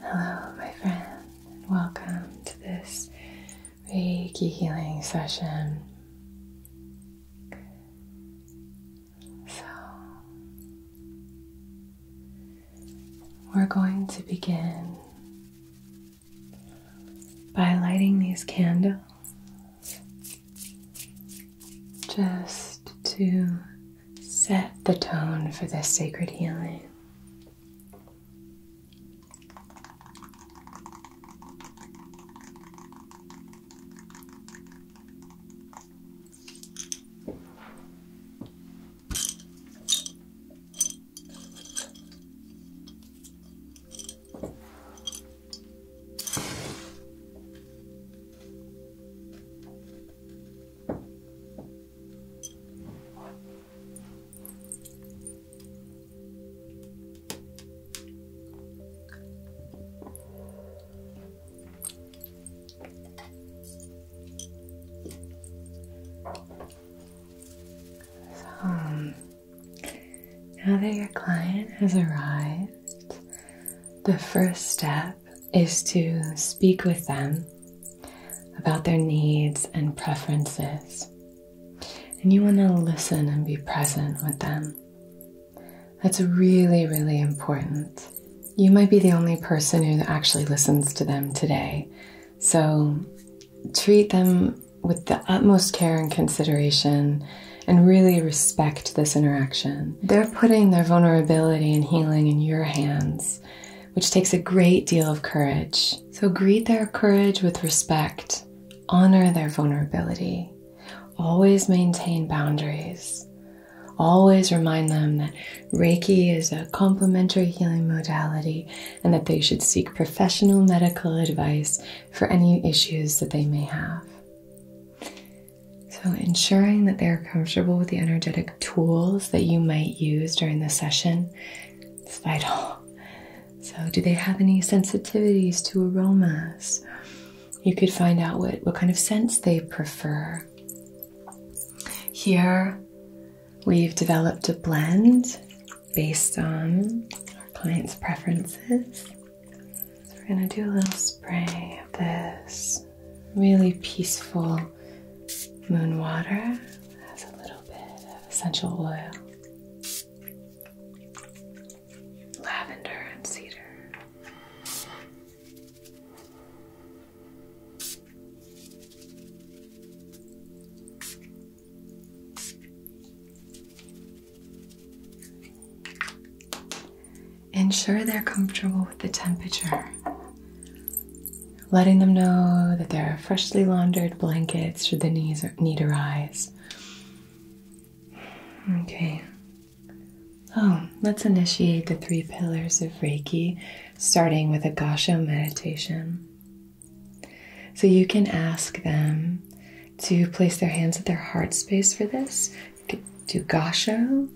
Hello, my friend, welcome to this Reiki healing session. So, we're going to begin by lighting these candles just to set the tone for this sacred healing. So, um, now that your client has arrived, the first step is to speak with them about their needs and preferences. And you want to listen and be present with them. That's really, really important. You might be the only person who actually listens to them today. So treat them with the utmost care and consideration and really respect this interaction. They're putting their vulnerability and healing in your hands, which takes a great deal of courage. So greet their courage with respect, honor their vulnerability, always maintain boundaries. Always remind them that Reiki is a complementary healing modality and that they should seek professional medical advice for any issues that they may have. So, ensuring that they're comfortable with the energetic tools that you might use during the session is vital. So, do they have any sensitivities to aromas? You could find out what, what kind of scents they prefer. Here, we've developed a blend based on our clients' preferences. So we're going to do a little spray of this really peaceful moon water. has a little bit of essential oil, lavender, and cedar ensure they're comfortable with the temperature. Letting them know that there are freshly laundered blankets should the knees need arise. Okay. Oh, let's initiate the three pillars of Reiki, starting with a Gasho meditation. So you can ask them to place their hands at their heart space for this do gasho,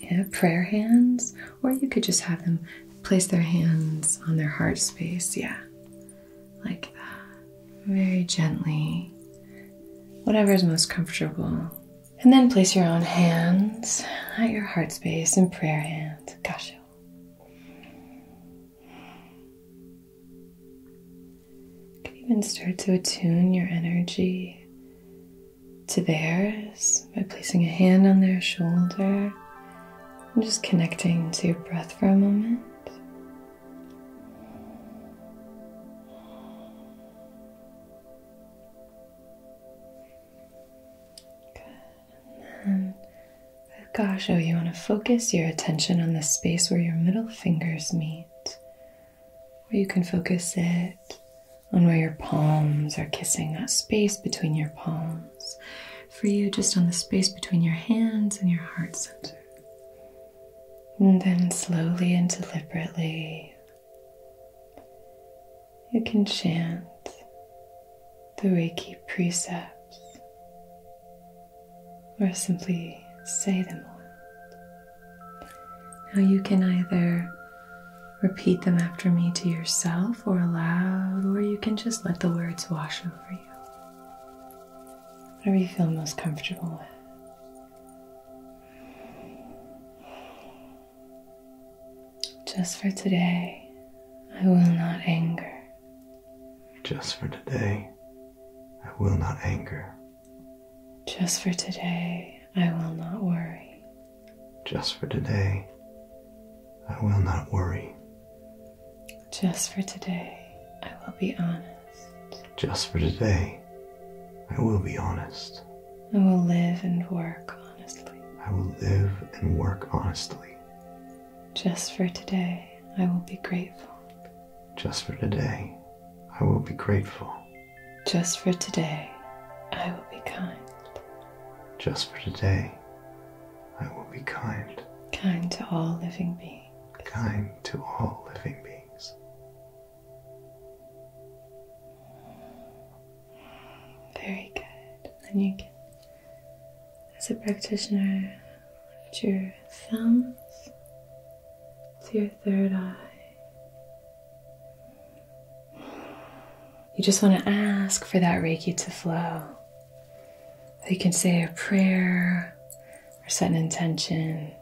yeah, prayer hands, or you could just have them place their hands on their heart space, yeah, like very gently, whatever is most comfortable. And then place your own hands at your heart space in prayer hands, gasho. You even start to attune your energy to theirs by placing a hand on their shoulder and just connecting to your breath for a moment. Good. And then with oh Gasho, oh, you want to focus your attention on the space where your middle fingers meet. Or you can focus it on where your palms are kissing that space between your palms. For you, just on the space between your hands and your heart center. And then slowly and deliberately, you can chant the Reiki precepts or simply say them aloud. Now you can either repeat them after me to yourself or aloud, or you can just let the words wash over you. Whatever you feel most comfortable with. Just for today, I will not anger. Just for today, I will not anger. Just for today, I will not worry. Just for today, I will not worry. Just for today, I will be honest. Just for today, I will be honest. I will live and work honestly. I will live and work honestly. Just for today, I will be grateful. Just for today, I will be grateful. Just for today, I will be kind. Just for today, I will be kind. Kind to all living beings. Kind to all living beings. Very good. Then you can, as a practitioner, lift your thumbs to your third eye you just want to ask for that Reiki to flow. You can say a prayer or set an intention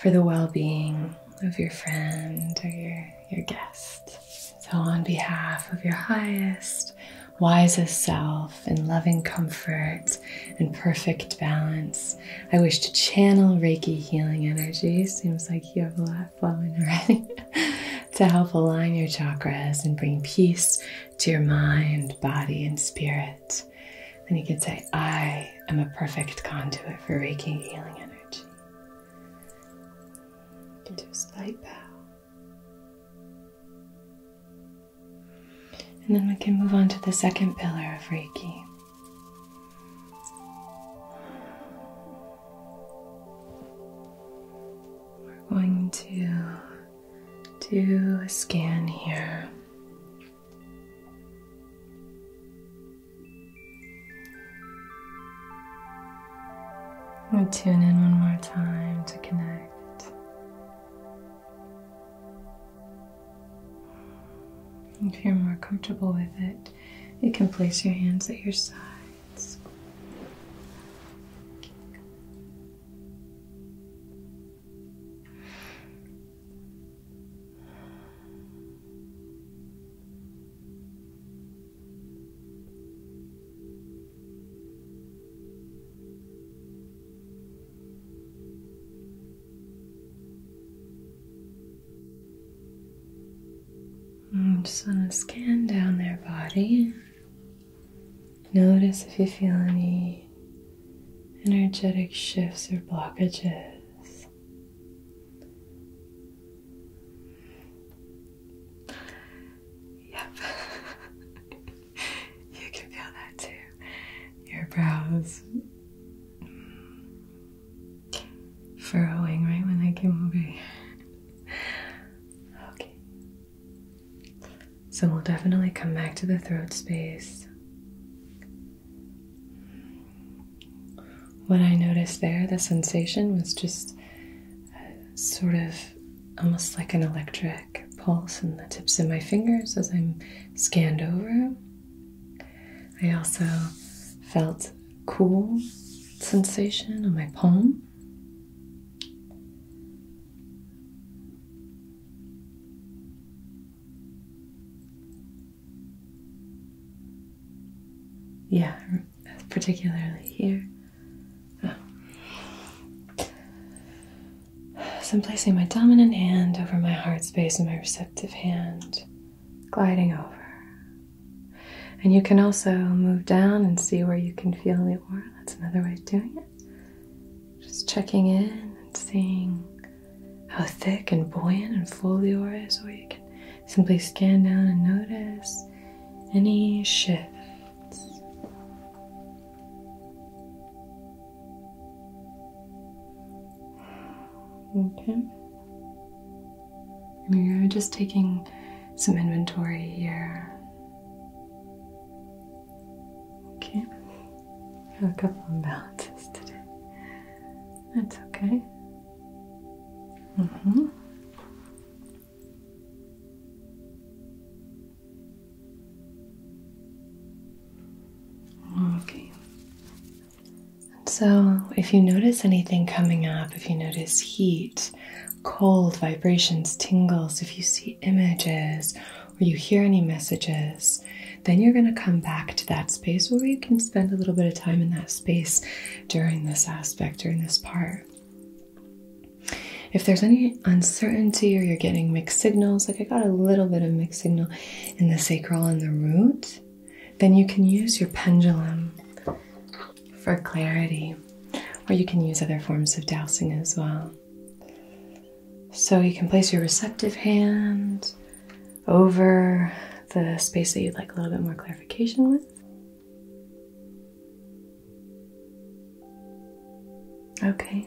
for the well being of your friend or your, your guest. So, on behalf of your highest, wisest self in loving comfort and perfect balance, I wish to channel Reiki healing energy. Seems like you have a lot have flowing already to help align your chakras and bring peace to your mind, body, and spirit. And you could say, I am a perfect conduit for Reiki healing energy. You do a slight bow. And then we can move on to the second pillar of Reiki, we're going to do a scan here. tune in one more time to connect. If you're more comfortable with it, you can place your hands at your sides. Mm, just want to scan down their body. Notice if you feel any energetic shifts or blockages. Yep, you can feel that too. Your brows furrowing right when I came over okay. So we'll definitely come back to the throat space. What I noticed there, the sensation was just sort of almost like an electric pulse in the tips of my fingers as I'm scanned over. I also felt cool sensation on my palm. Yeah, particularly here. So I'm placing my dominant hand over my heart space and my receptive hand gliding over. And you can also move down and see where you can feel the aura. That's another way of doing it. Just checking in and seeing how thick and buoyant and full the aura is, or you can simply scan down and notice any shifts. Okay. And you're just taking some inventory here. Okay, I have a couple imbalances today. That's okay. Mm-hmm. Okay, so, if you notice anything coming up, if you notice heat, cold, vibrations, tingles, if you see images or you hear any messages, then you're going to come back to that space where you can spend a little bit of time in that space during this aspect, during this part. If there's any uncertainty or you're getting mixed signals, like I got a little bit of mixed signal in the sacral and the root, then you can use your pendulum for clarity, or you can use other forms of dowsing as well. So you can place your receptive hand over the space that you'd like a little bit more clarification with. Okay,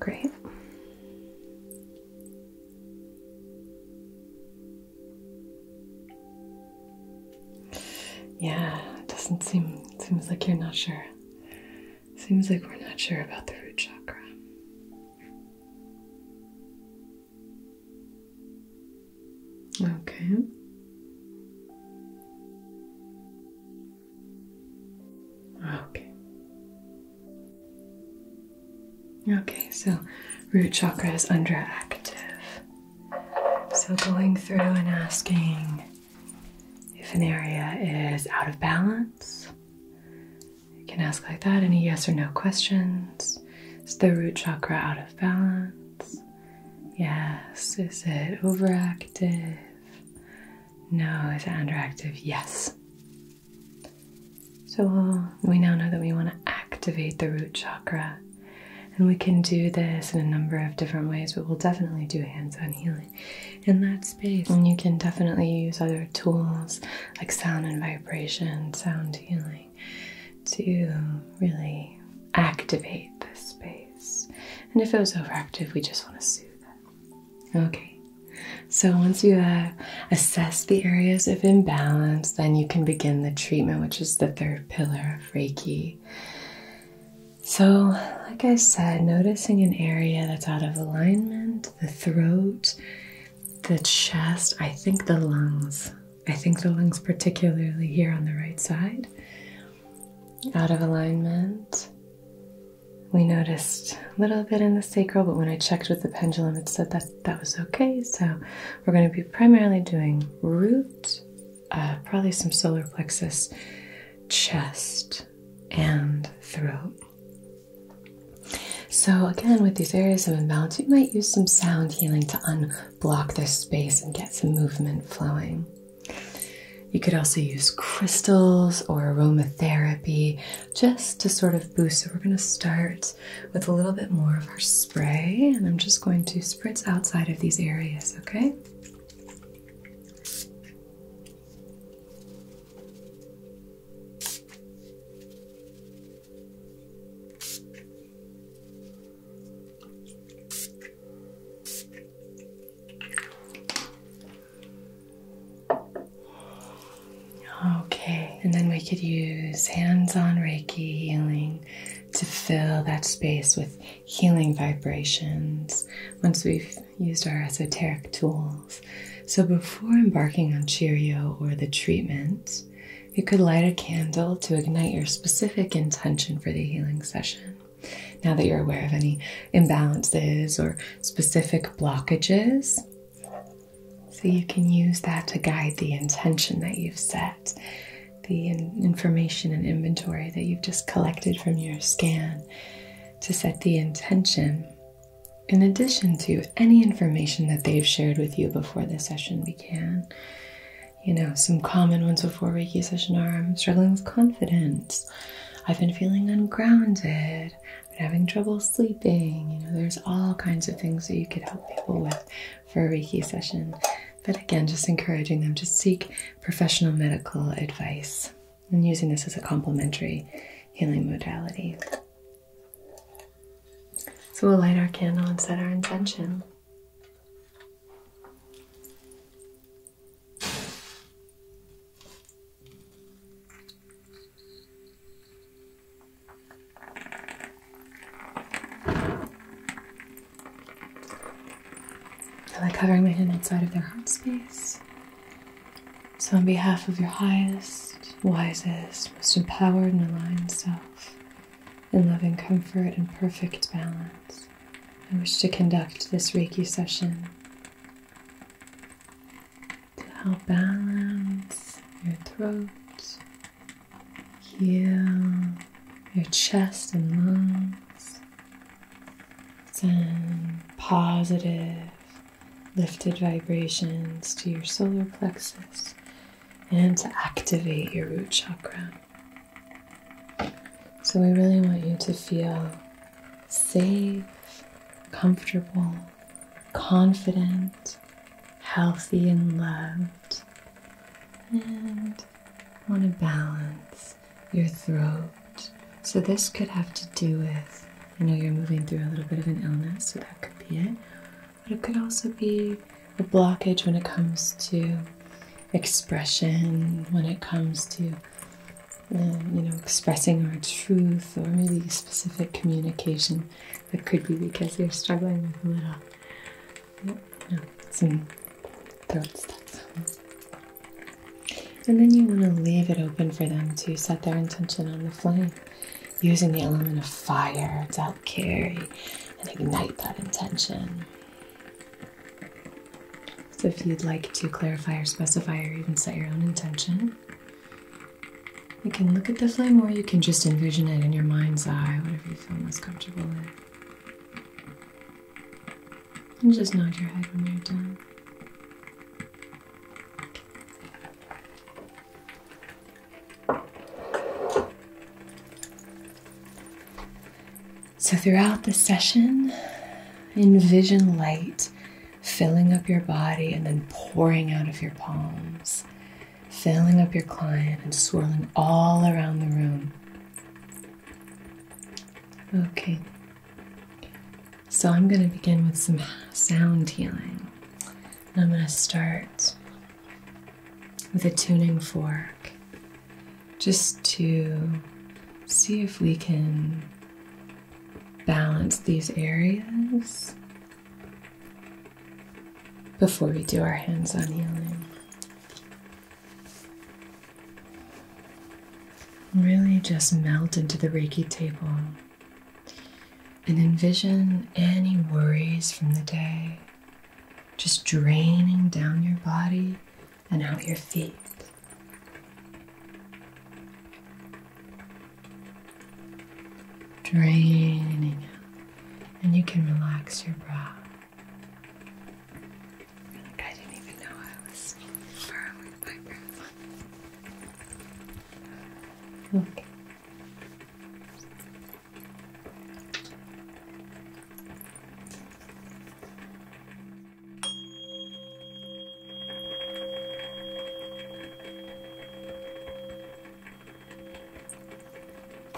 great. Yeah, it doesn't seem seems like you're not sure. Seems like we're not sure about the root chakra. Okay. Okay. Okay, so root chakra is underactive. So, going through and asking if an area is out of balance. You can ask like that any yes or no questions. Is the root chakra out of balance? Yes. Is it overactive? No. Is it underactive? Yes. So, we we now know that we want to activate the root chakra and we can do this in a number of different ways, but we'll definitely do hands on healing in that space. And you can definitely use other tools like sound and vibration, sound healing to really activate the space. And if it was overactive, we just want to soothe it. Okay. So, once you have assessed the areas of imbalance, then you can begin the treatment, which is the third pillar of Reiki. So, like I said, noticing an area that's out of alignment the throat, the chest, I think the lungs. I think the lungs, particularly here on the right side, out of alignment. We noticed a little bit in the sacral, but when I checked with the pendulum, it said that that was okay. So, we're going to be primarily doing root uh, probably some solar plexus, chest, and throat. So, again, with these areas of imbalance, you might use some sound healing to unblock this space and get some movement flowing. You could also use crystals or aromatherapy just to sort of boost. So, we're going to start with a little bit more of our spray, and I'm just going to spritz outside of these areas, okay? Okay, and then we could use hands on Reiki healing to fill that space with healing vibrations once we've used our esoteric tools. So, before embarking on Cheerio or the treatment, you could light a candle to ignite your specific intention for the healing session. Now that you're aware of any imbalances or specific blockages, so you can use that to guide the intention that you've set the information and inventory that you've just collected from your scan to set the intention in addition to any information that they've shared with you before the session began. You know, some common ones before Reiki session are I'm struggling with confidence, I've been feeling ungrounded, I've been having trouble sleeping. You know, there's all kinds of things that you could help people with for a Reiki session but again, just encouraging them to seek professional medical advice and using this as a complementary healing modality. So we'll light our candle and set our intention. I like covering my hand outside of their heart space. So, on behalf of your highest, wisest, most empowered and aligned self, in loving comfort and perfect balance, I wish to conduct this Reiki session to help balance your throat, here, your chest and lungs. Send positive, lifted vibrations to your solar plexus and to activate your root chakra. So, we really want you to feel safe, comfortable, confident, healthy, and loved. And want to balance your throat. So, this could have to do with I know you're moving through a little bit of an illness, so that could be it. But it could also be a blockage when it comes to expression, when it comes to um, you know, expressing our truth or maybe specific communication that could be because you're struggling with a little and then you want to leave it open for them to set their intention on the flame, using the element of fire to carry and ignite that intention. So, if you'd like to clarify or specify or even set your own intention, you can look at the flame or you can just envision it in your mind's eye, whatever you feel most comfortable with. And just nod your head when you're done. So, throughout the session, envision light filling up your body and then pouring out of your palms, filling up your client and swirling all around the room. Okay, so I'm going to begin with some sound healing. And I'm going to start with a tuning fork just to see if we can balance these areas before we do our hands on healing. Really just melt into the Reiki table and envision any worries from the day just draining down your body and out your feet. Draining and you can relax your breath. I didn't even know I was firm my breath. Okay.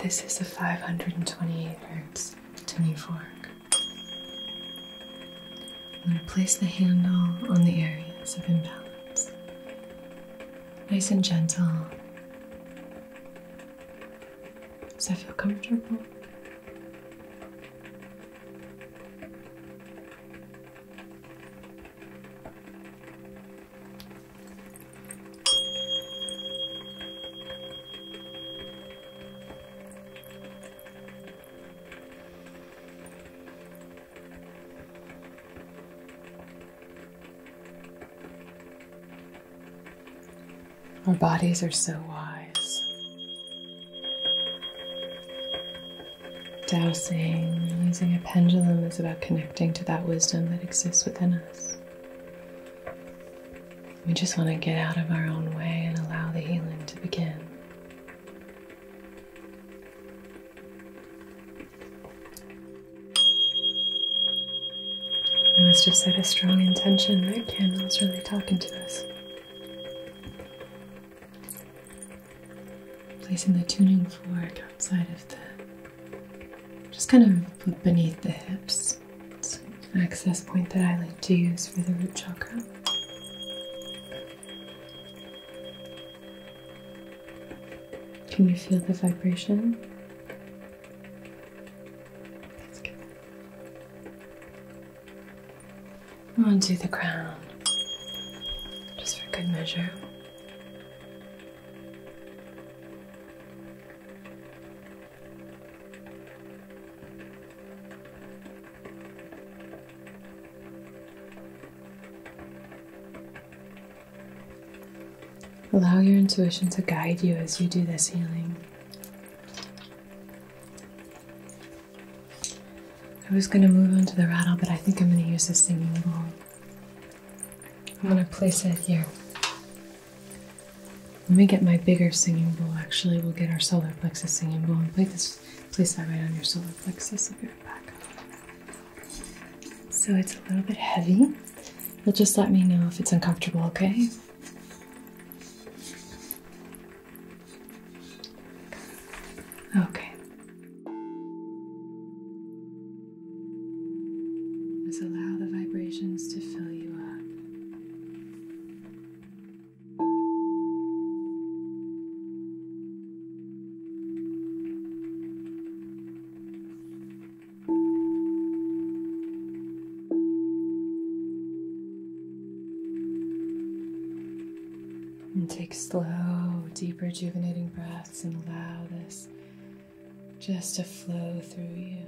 This is a 528 hertz tuning fork. I'm gonna place the handle on the areas of imbalance. Nice and gentle. Does I feel comfortable? Our bodies are so wise. Dowsing, using a pendulum is about connecting to that wisdom that exists within us. We just want to get out of our own way and allow the healing to begin. I must have set a strong intention. That candle's really talking to us. Placing the tuning fork outside of the, just kind of beneath the hips access point that I like to use for the root chakra. Can you feel the vibration? Onto the crown, just for good measure. Allow your intuition to guide you as you do this healing. I was going to move on to the rattle, but I think I'm going to use this singing bowl. I'm going to place it here let me get my bigger singing bowl. Actually, we'll get our solar plexus singing bowl and place, place that right on your solar plexus. I'll be right back. So it's a little bit heavy. You'll just let me know if it's uncomfortable, okay? Okay. Just allow the vibrations to fill you up. And take slow, deep, rejuvenating breaths and allow this just to flow through you.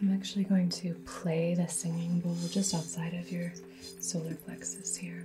I'm actually going to play the singing bowl just outside of your solar plexus here.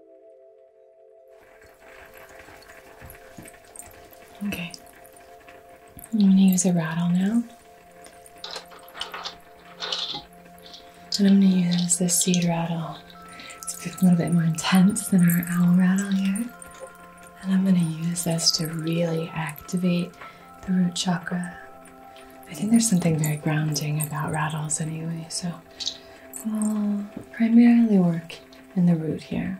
Okay. I'm going to use a rattle now. And I'm going to use this seed rattle. It's a little bit more intense than our owl rattle here. And I'm going to use this to really activate the root chakra. I think there's something very grounding about rattles anyway, so will primarily work in the root here.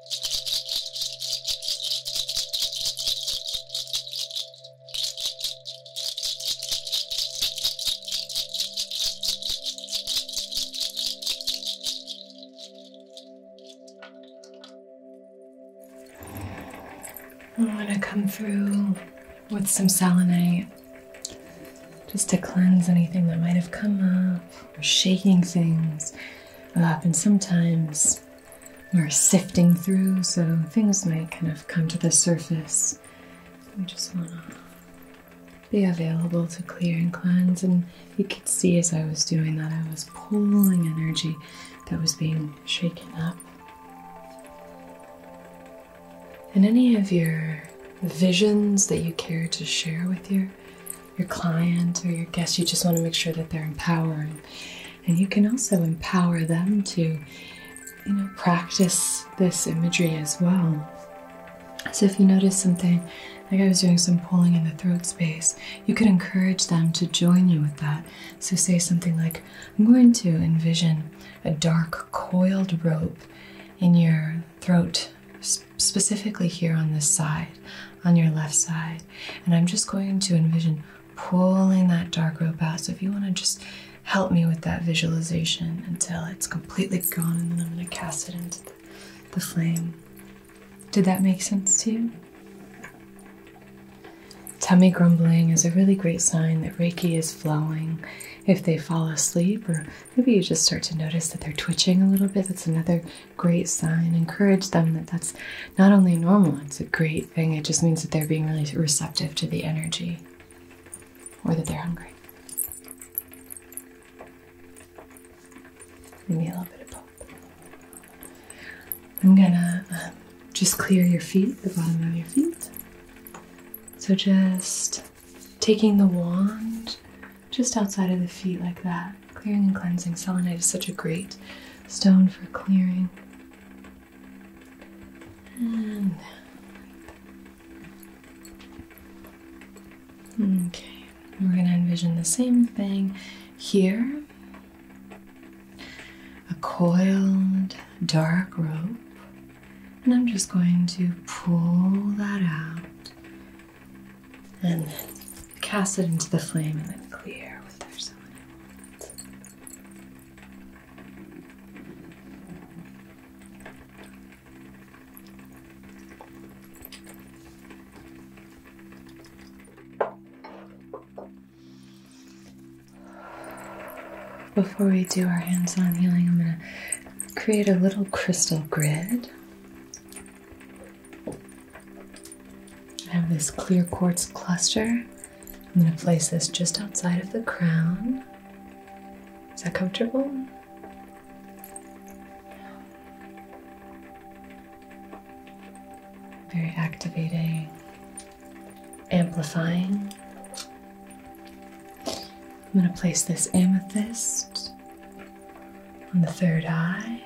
I'm going to come through with some selenite just to cleanse anything that might have come up or shaking things up. And sometimes we're sifting through, so things might kind of come to the surface. We just want to be available to clear and cleanse. And you could see as I was doing that, I was pulling energy that was being shaken up. And any of your visions that you care to share with your your client or your guest, you just want to make sure that they're empowered and you can also empower them to, you know, practice this imagery as well. So if you notice something, like I was doing some pulling in the throat space, you could encourage them to join you with that. So say something like, I'm going to envision a dark coiled rope in your throat, specifically here on this side, on your left side. And I'm just going to envision pulling that dark rope out. So if you want to just help me with that visualization until it's completely gone, and then I'm going to cast it into the, flame. Did that make sense to you? Tummy grumbling is a really great sign that Reiki is flowing. If they fall asleep, or maybe you just start to notice that they're twitching a little bit, that's another great sign. Encourage them that that's not only normal, it's a great it just means that they're being really receptive to the energy or that they're hungry. Give a little bit of both. I'm gonna um, just clear your feet, the bottom of your feet. So just taking the wand just outside of the feet like that, clearing and cleansing. Selenite is such a great stone for clearing and okay, we're going to envision the same thing here a coiled dark rope, and I'm just going to pull that out and cast it into the flame and then clear with their someone before we do our hands-on healing, I'm going to create a little crystal grid. I have this clear quartz cluster. I'm going to place this just outside of the crown. Is that comfortable? Very activating, amplifying. I'm going to place this amethyst on the third eye.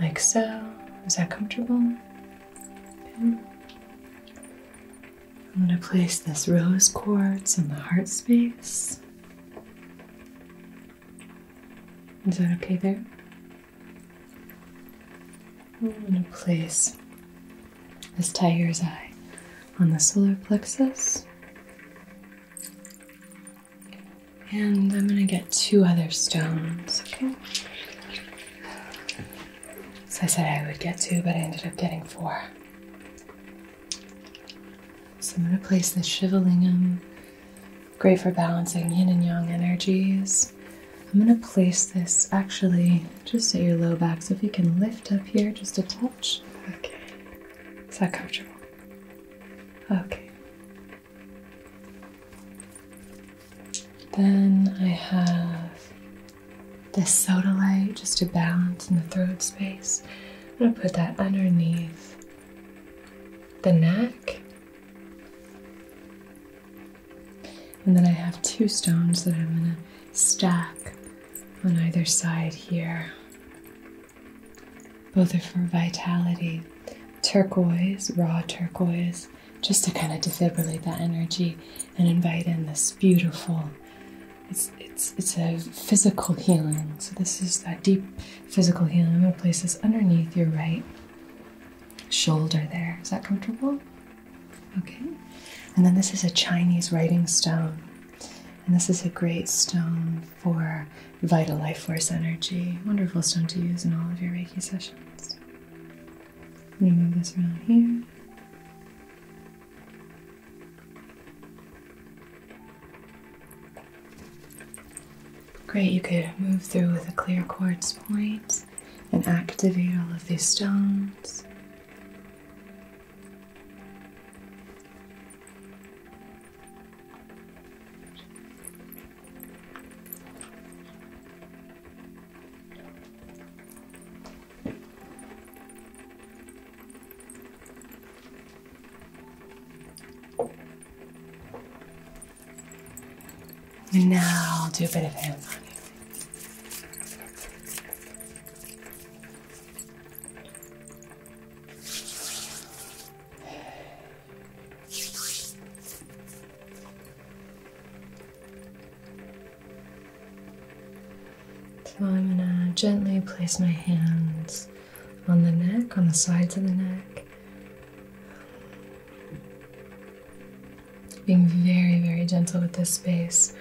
Like so. Is that comfortable? I'm going to place this rose quartz in the heart space. Is that okay there? I'm going to place this tiger's eye on the solar plexus. And I'm gonna get two other stones, okay? So I said I would get two, but I ended up getting four. So I'm gonna place the Shivalingam, great for balancing yin and yang energies. I'm gonna place this actually just at your low back, so if you can lift up here just a touch. Okay. Is that comfortable? Okay. Then I have this soda light just to balance in the throat space. I'm going to put that underneath the neck. And then I have two stones that I'm going to stack on either side here. Both are for vitality. Turquoise, raw turquoise, just to kind of defibrillate that energy and invite in this beautiful it's it's it's a physical healing. So this is that deep physical healing. I'm gonna place this underneath your right shoulder there. Is that comfortable? Okay. And then this is a Chinese writing stone. And this is a great stone for vital life force energy. Wonderful stone to use in all of your Reiki sessions. We move this around here. Great, you could move through with a clear quartz point and activate all of these stones. And now I'll do a bit of hands so I'm going to gently place my hands on the neck, on the sides of the neck. Being very, very gentle with this space.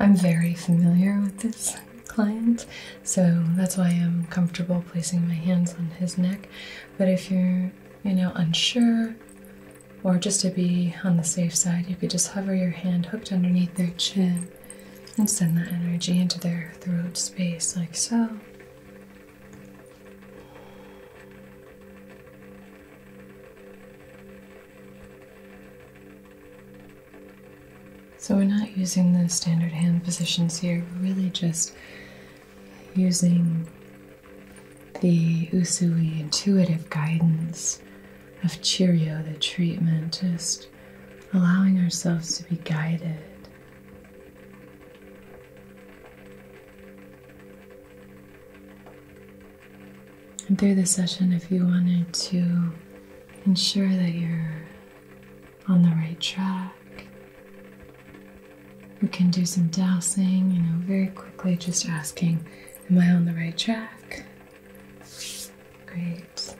I'm very familiar with this client, so that's why I'm comfortable placing my hands on his neck. But if you're, you know, unsure, or just to be on the safe side, you could just hover your hand hooked underneath their chin and send that energy into their throat space, like so. So, we're not using the standard hand positions here, we're really just using the Usui intuitive guidance of Cheerio, the treatment, just allowing ourselves to be guided. And through the session, if you wanted to ensure that you're on the right track, we can do some dowsing, you know, very quickly, just asking, Am I on the right track? Great.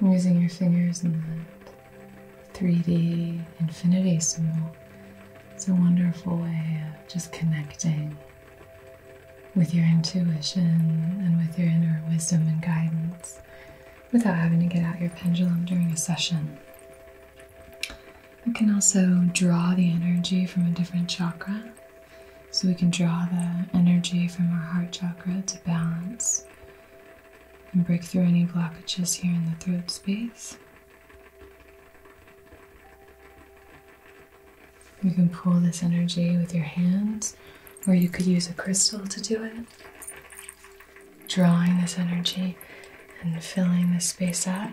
using your fingers in that 3D infinity symbol. It's a wonderful way of just connecting with your intuition and with your inner wisdom and guidance without having to get out your pendulum during a session. We can also draw the energy from a different chakra. So we can draw the energy from our heart chakra to balance and break through any blockages here in the throat space. You can pull this energy with your hands. Where you could use a crystal to do it. Drawing this energy and filling this space out.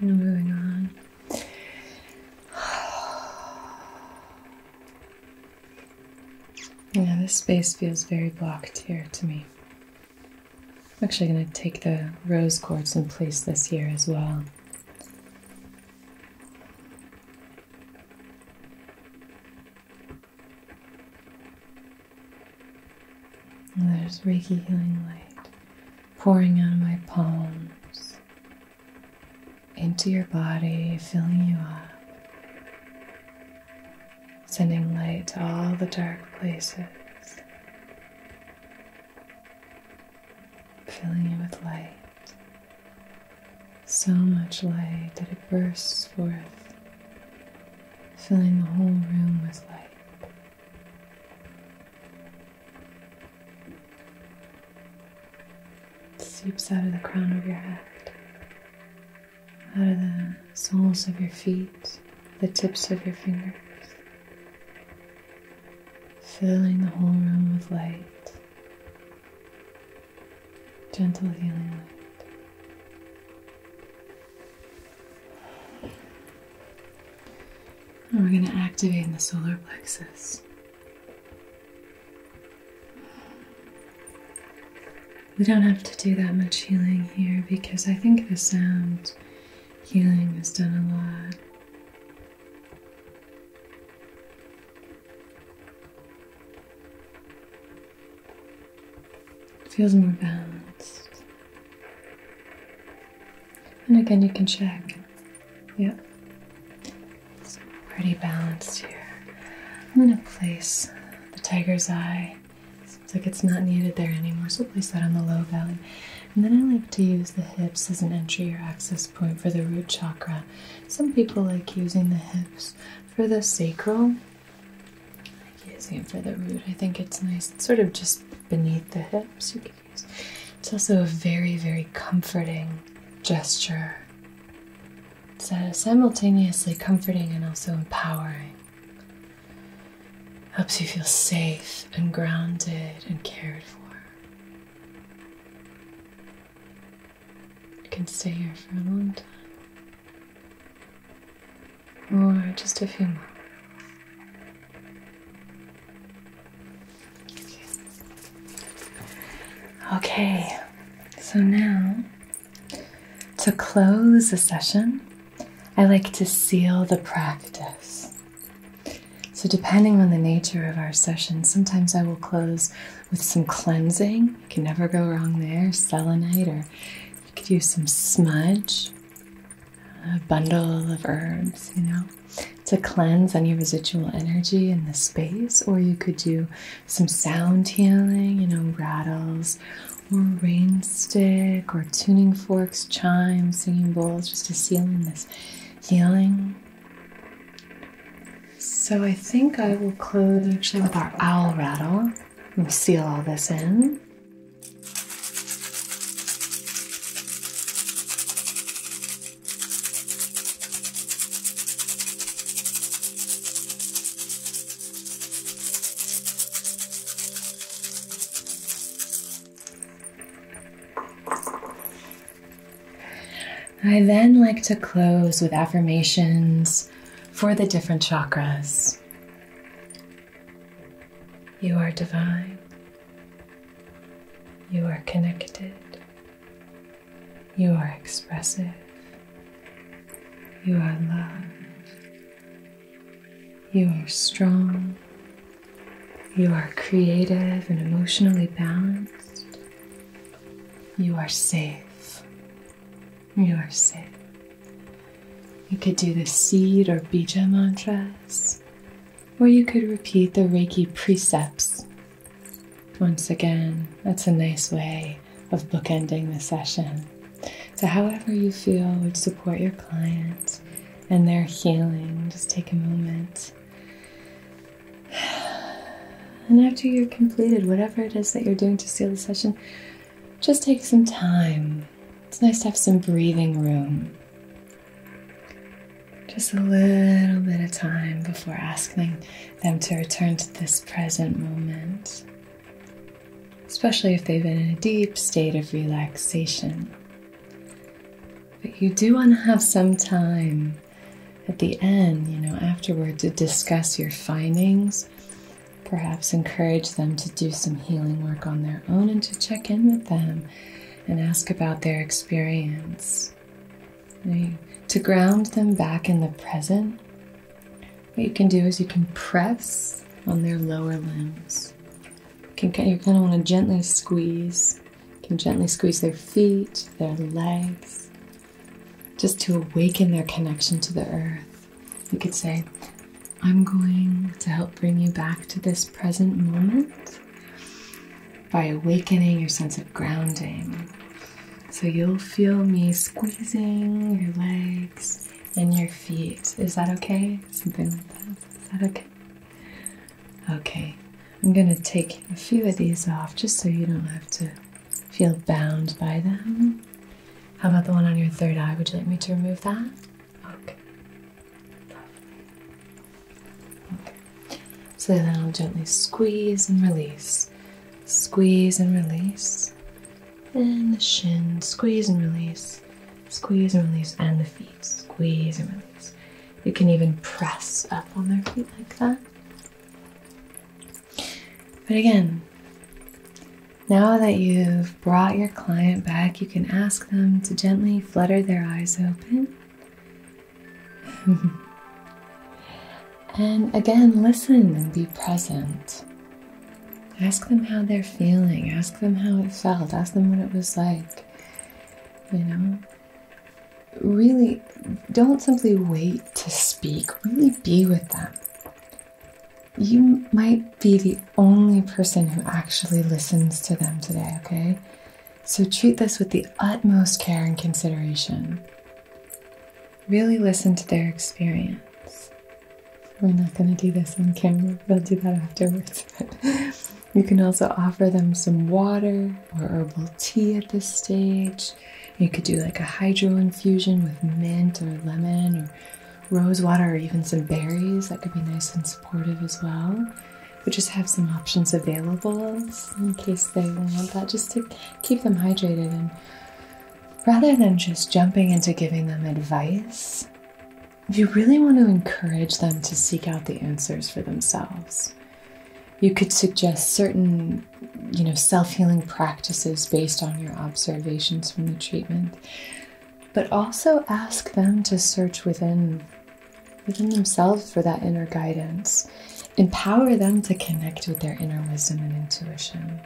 moving on Yeah, this space feels very blocked here to me. I'm actually going to take the rose quartz and place this here as well. there's Reiki Healing Light pouring out of my palms into your body, filling you up, sending light to all the dark places, filling you with light. So much light that it bursts forth, filling the whole room with light seeps out of the crown of your head, out of the soles of your feet, the tips of your fingers, filling the whole room with light. Gentle healing light we're going to activate in the solar plexus. We don't have to do that much healing here because I think the sound healing has done a lot. feels more balanced. And again, you can check. Yep. It's pretty balanced here. I'm going to place the tiger's eye. Seems like it's not needed there anymore, so place that on the low belly. And then I like to use the hips as an entry or access point for the root chakra. Some people like using the hips for the sacral. I like using it for the root. I think it's nice. It's sort of just beneath the hips. You can it's also a very, very comforting gesture. It's simultaneously comforting and also empowering. Helps you feel safe and grounded and cared for. You can stay here for a long time, or just a few more. Okay, so now to close the session, I like to seal the practice. So, depending on the nature of our session, sometimes I will close with some cleansing. You can never go wrong there, selenite, or you could use some smudge, a bundle of herbs, you know to cleanse any residual energy in the space, or you could do some sound healing, you know, rattles or rain stick or tuning forks, chimes, singing bowls, just to seal in this healing. So I think I will close actually with our owl rattle and seal all this in. I then like to close with affirmations for the different chakras. You are divine. You are connected. You are expressive. You are loved. You are strong. You are creative and emotionally balanced. You are safe. You are safe. You could do the seed or bija mantras, or you could repeat the Reiki precepts once again, that's a nice way of bookending the session. So, however you feel would support your client and their healing, just take a moment. And after you're completed, whatever it is that you're doing to seal the session, just take some time. It's nice to have some breathing room. Just a little bit of time before asking them to return to this present moment, especially if they've been in a deep state of relaxation. But you do want to have some time at the end, you know, afterward to discuss your findings, perhaps encourage them to do some healing work on their own and to check in with them and ask about their experience. To ground them back in the present, what you can do is you can press on their lower limbs. You can, you're want to gently squeeze. You can gently squeeze their feet, their legs, just to awaken their connection to the earth. You could say, I'm going to help bring you back to this present moment by awakening your sense of grounding. So you'll feel me squeezing your legs and your feet. Is that okay? Something like that. Is that okay? Okay. I'm going to take a few of these off just so you don't have to feel bound by them. How about the one on your third eye? Would you like me to remove that? Okay. So then I'll gently squeeze and release, squeeze and release, and the shin, squeeze and release, squeeze and release, and the feet, squeeze and release. You can even press up on their feet like that. But again, now that you've brought your client back, you can ask them to gently flutter their eyes open and again, listen and be present. Ask them how they're feeling. Ask them how it felt. Ask them what it was like. You know? Really, don't simply wait to speak. Really be with them. You might be the only person who actually listens to them today, okay? So treat this with the utmost care and consideration. Really listen to their experience. We're not going to do this on camera, we'll do that afterwards. you can also offer them some water or herbal tea at this stage. You could do like a hydro infusion with mint or lemon or rose water or even some berries. That could be nice and supportive as well we just have some options available in case they want that, just to keep them hydrated. And rather than just jumping into giving them advice, you really want to encourage them to seek out the answers for themselves. You could suggest certain, you know, self-healing practices based on your observations from the treatment, but also ask them to search within within themselves for that inner guidance. Empower them to connect with their inner wisdom and intuition.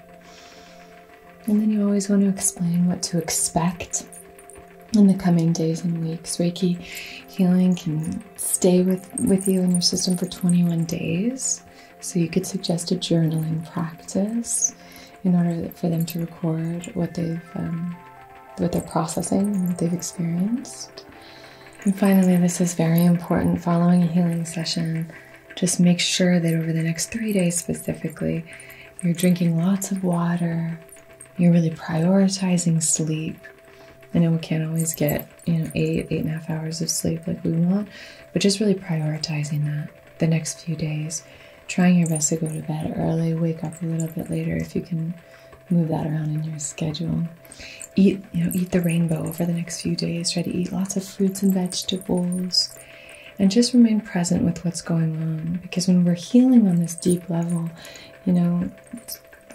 And then you always want to explain what to expect in the coming days and weeks. Reiki healing can stay with, with you in your system for 21 days. So you could suggest a journaling practice in order for them to record what they've um, what they're processing what they've experienced. And finally, this is very important following a healing session. Just make sure that over the next three days specifically, you're drinking lots of water, you're really prioritizing sleep. I know we can't always get, you know, eight, eight and a half hours of sleep like we want, but just really prioritizing that the next few days. Trying your best to go to bed early, wake up a little bit later if you can move that around in your schedule. Eat, you know, eat the rainbow over the next few days. Try to eat lots of fruits and vegetables. And just remain present with what's going on. Because when we're healing on this deep level, you know,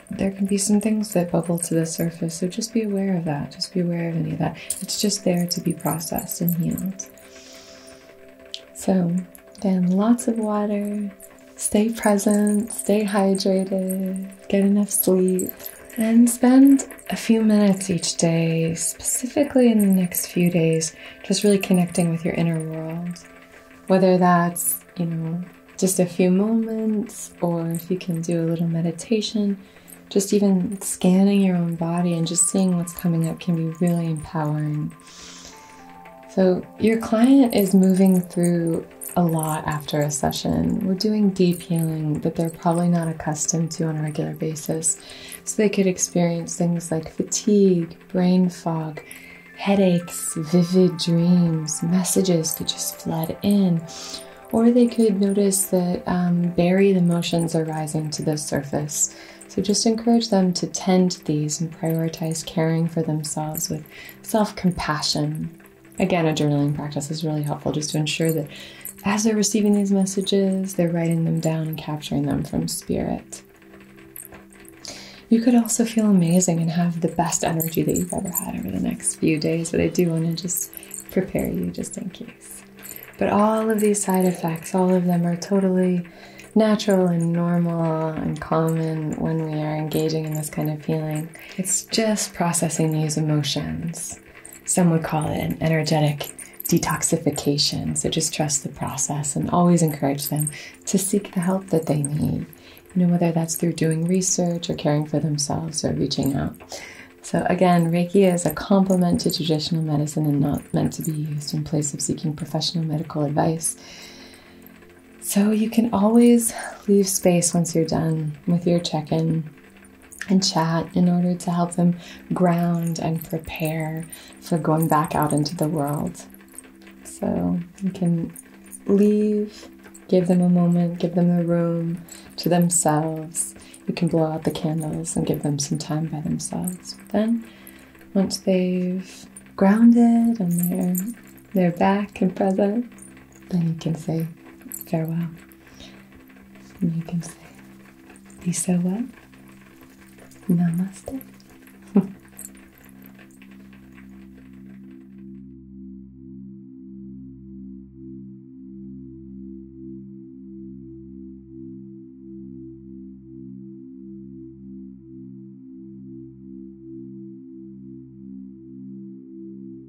there can be some things that bubble to the surface. So just be aware of that. Just be aware of any of that. It's just there to be processed and healed. So, then lots of water. Stay present. Stay hydrated get enough sleep, and spend a few minutes each day, specifically in the next few days, just really connecting with your inner world. Whether that's, you know, just a few moments, or if you can do a little meditation, just even scanning your own body and just seeing what's coming up can be really empowering. So, your client is moving through a lot after a session. We're doing deep healing that they're probably not accustomed to on a regular basis. So they could experience things like fatigue, brain fog, headaches, vivid dreams, messages could just flood in. Or they could notice that um, buried emotions are rising to the surface. So just encourage them to tend to these and prioritize caring for themselves with self compassion Again, a journaling practice is really helpful just to ensure that as they're receiving these messages, they're writing them down and capturing them from spirit. You could also feel amazing and have the best energy that you've ever had over the next few days, but I do want to just prepare you just in case. But all of these side effects, all of them are totally natural and normal and common when we are engaging in this kind of feeling just processing these emotions. Some would call it an energetic detoxification. So just trust the process and always encourage them to seek the help that they need. You know, whether that's through doing research or caring for themselves or reaching out. So, again, Reiki is a complement to traditional medicine and not meant to be used in place of seeking professional medical advice. So, you can always leave space once you're done with your check in and chat in order to help them ground and prepare for going back out into the world. So you can leave, give them a moment, give them the room to themselves. You can blow out the candles and give them some time by themselves. then, once they've grounded and they're, they're back in present, then you can say farewell you can say, be so well. Namaste.